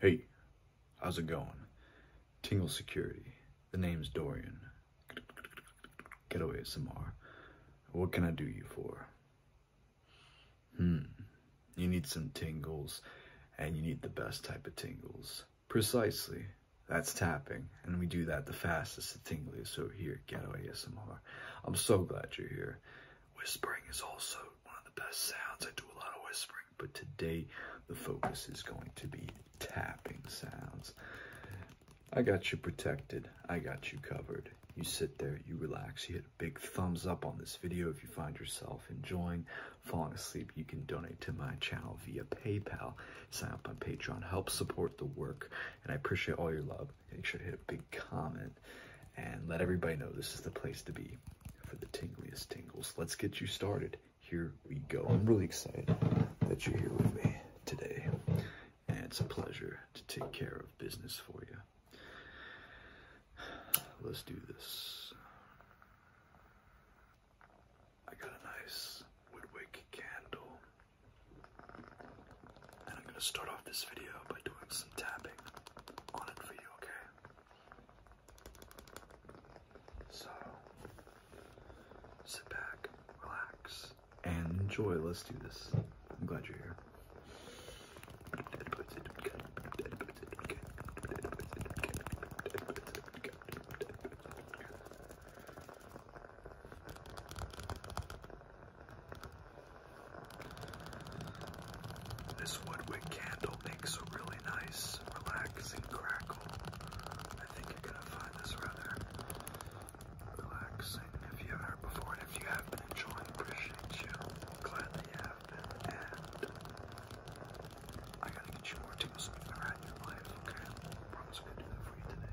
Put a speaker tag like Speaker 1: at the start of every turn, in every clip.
Speaker 1: Hey, how's it going? Tingle Security. The name's Dorian. Getaway ASMR. What can I do you for? Hmm. You need some tingles, and you need the best type of tingles. Precisely. That's tapping, and we do that the fastest and tingliest So here at Getaway ASMR. I'm so glad you're here. Whispering is also one of the best sounds. I do a lot of whispering but today the focus is going to be tapping sounds. I got you protected. I got you covered. You sit there, you relax, you hit a big thumbs up on this video if you find yourself enjoying falling asleep. You can donate to my channel via PayPal, sign up on Patreon, help support the work, and I appreciate all your love. Make sure to hit a big comment and let everybody know this is the place to be for the tingliest tingles. Let's get you started. Here we go. I'm really excited that you're here with me today. And it's a pleasure to take care of business for you. Let's do this.
Speaker 2: I got a nice woodwick candle. And I'm going to start off this video by doing some tapping on it for you, okay?
Speaker 1: So sit back, relax, and enjoy. Let's do this. I'm glad you're here.
Speaker 2: This woodwick candle makes a really nice, relaxing crackle. I think you're gonna find this rather relaxing if you are heard before, and if you have been enjoying, appreciate you. I'm glad you have been, and I gotta get you more the right around your life, okay? I promise I'm gonna do that for you today.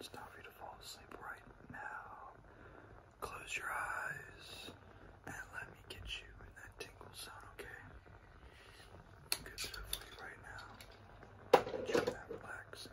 Speaker 2: It's for you to fall asleep right now. Close your eyes and let me get you in that tingle zone, okay? Good stuff right now. Get you that relaxing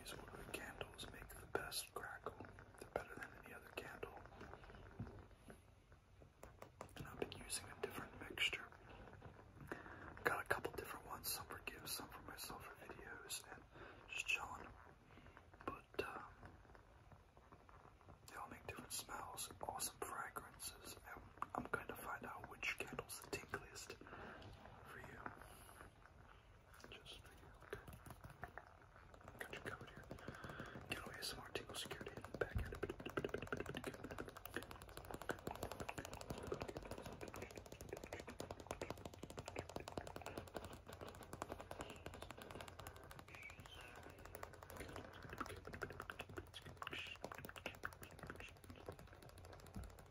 Speaker 2: These woodwick candles make the best crackle. They're better than any other candle. And I've been using a different mixture. I've Got a couple different ones, some for gifts, some for myself for videos, and just chilling. But um, they all make different smells, awesome fragrances, and I'm going to find out which candle's the tingliest for you. Just okay. Got you covered here. Get away some more tingle security and back at it. Okay.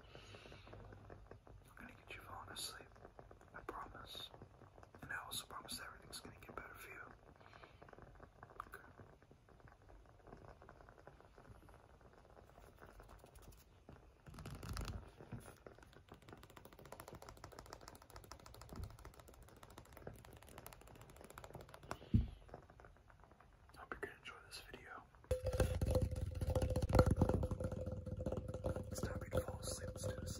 Speaker 2: I'm gonna get you falling asleep. I promise. And I also promise that everything's gonna get better for you. Okay. Hope you can enjoy this video. Let's do this.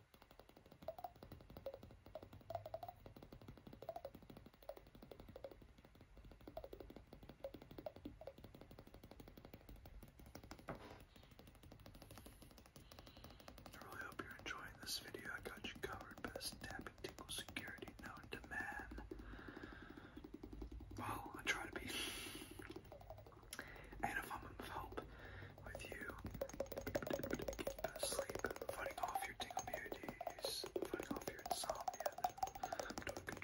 Speaker 2: I really hope you're enjoying this video. I got you covered best tapping tickle security known to man. Well, I try to be. And if I'm of with you asleep, fighting off your tingle beauties, fighting off your insomnia. I'm doing a If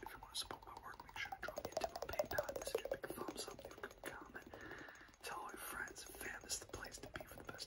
Speaker 2: you want to support my work, make sure to drop me a PayPal. This is a thumbs up, leave a comment. Tell your friends and fam this is the place to be for the best.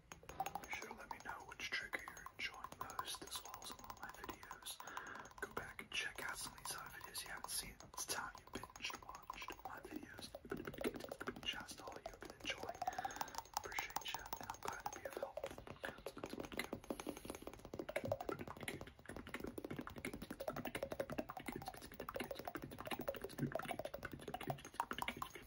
Speaker 2: Be sure to let me know which trigger you're enjoying most, as well as all my videos. Go back and check out some of these other videos you haven't seen. It's time you binged watched my videos. Just all you've been enjoying. Appreciate you, and I'm glad to be of help.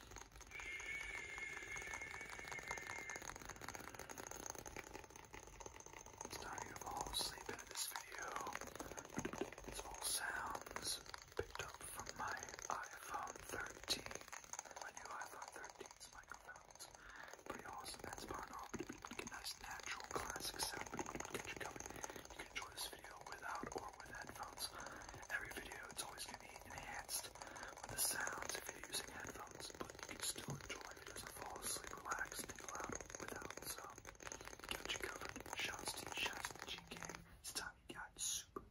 Speaker 2: It's not you all sleeping this video. It's all sounds picked up from my iPhone 13. My new iPhone 13's microphones. Pretty awesome. That's part of it. Get nice natural classic sound. Get you covered. You can enjoy this video without or with headphones. Every video, it's always gonna be enhanced with the sounds if you're using headphones, but you can still enjoy it as a fall asleep, relax, and loud without the Got you covered. Shots to the to the It's time you got super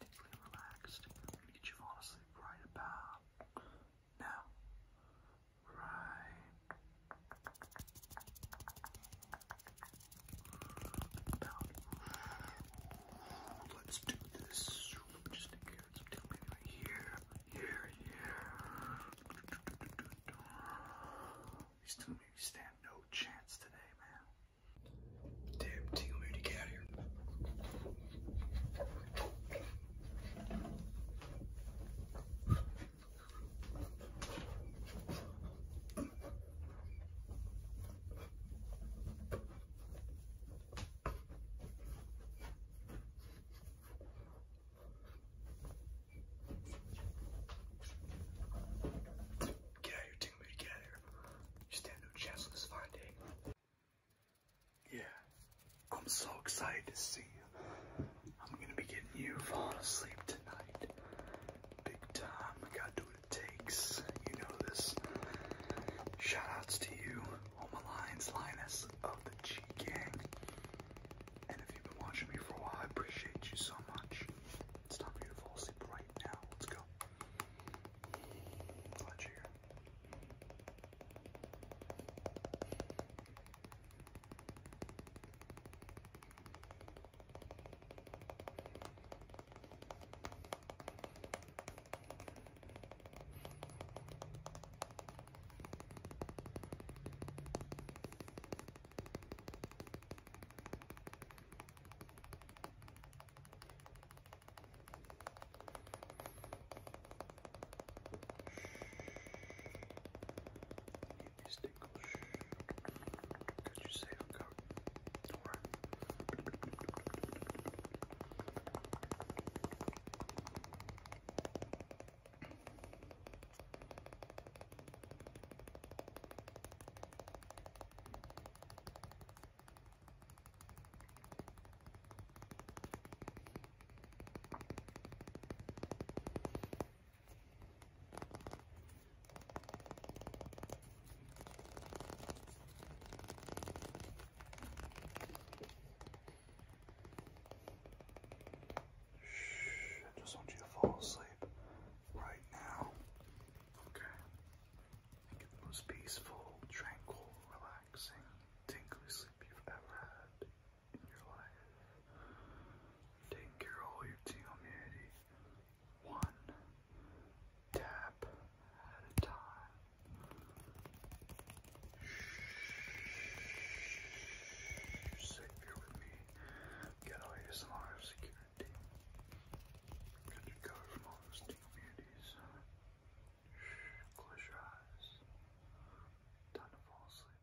Speaker 2: Tingly relaxed. get you falling asleep right about now. Right pound. Let's do this. Just take some right here, here, here. These two maybe stand no chance today, man. Damn, Tingle, we Get out of here, Tingley, get out of here. You stand no chance on this fine day. Yeah, I'm so excited to see you. I'm gonna be getting you falling asleep tonight. Big time, I gotta do what it takes. You know this. Shoutouts to you, Home Alliance Linus of the G Gang. And if you've been watching me for a while, I appreciate you so much. It's time for you to fall asleep right now. Let's go. Glad you're here. Get this down. Could you say I'm going? All right. All Shh, I just want you to fall asleep right now. Okay. Think the most peaceful, tranquil, relaxing, tingly sleep you've ever had in your life taking care of all your humanity one tap at a time. Shh. Sit here with me. Get all your smart security. Get your from all those communities. Shh. Close your eyes. Time to fall asleep.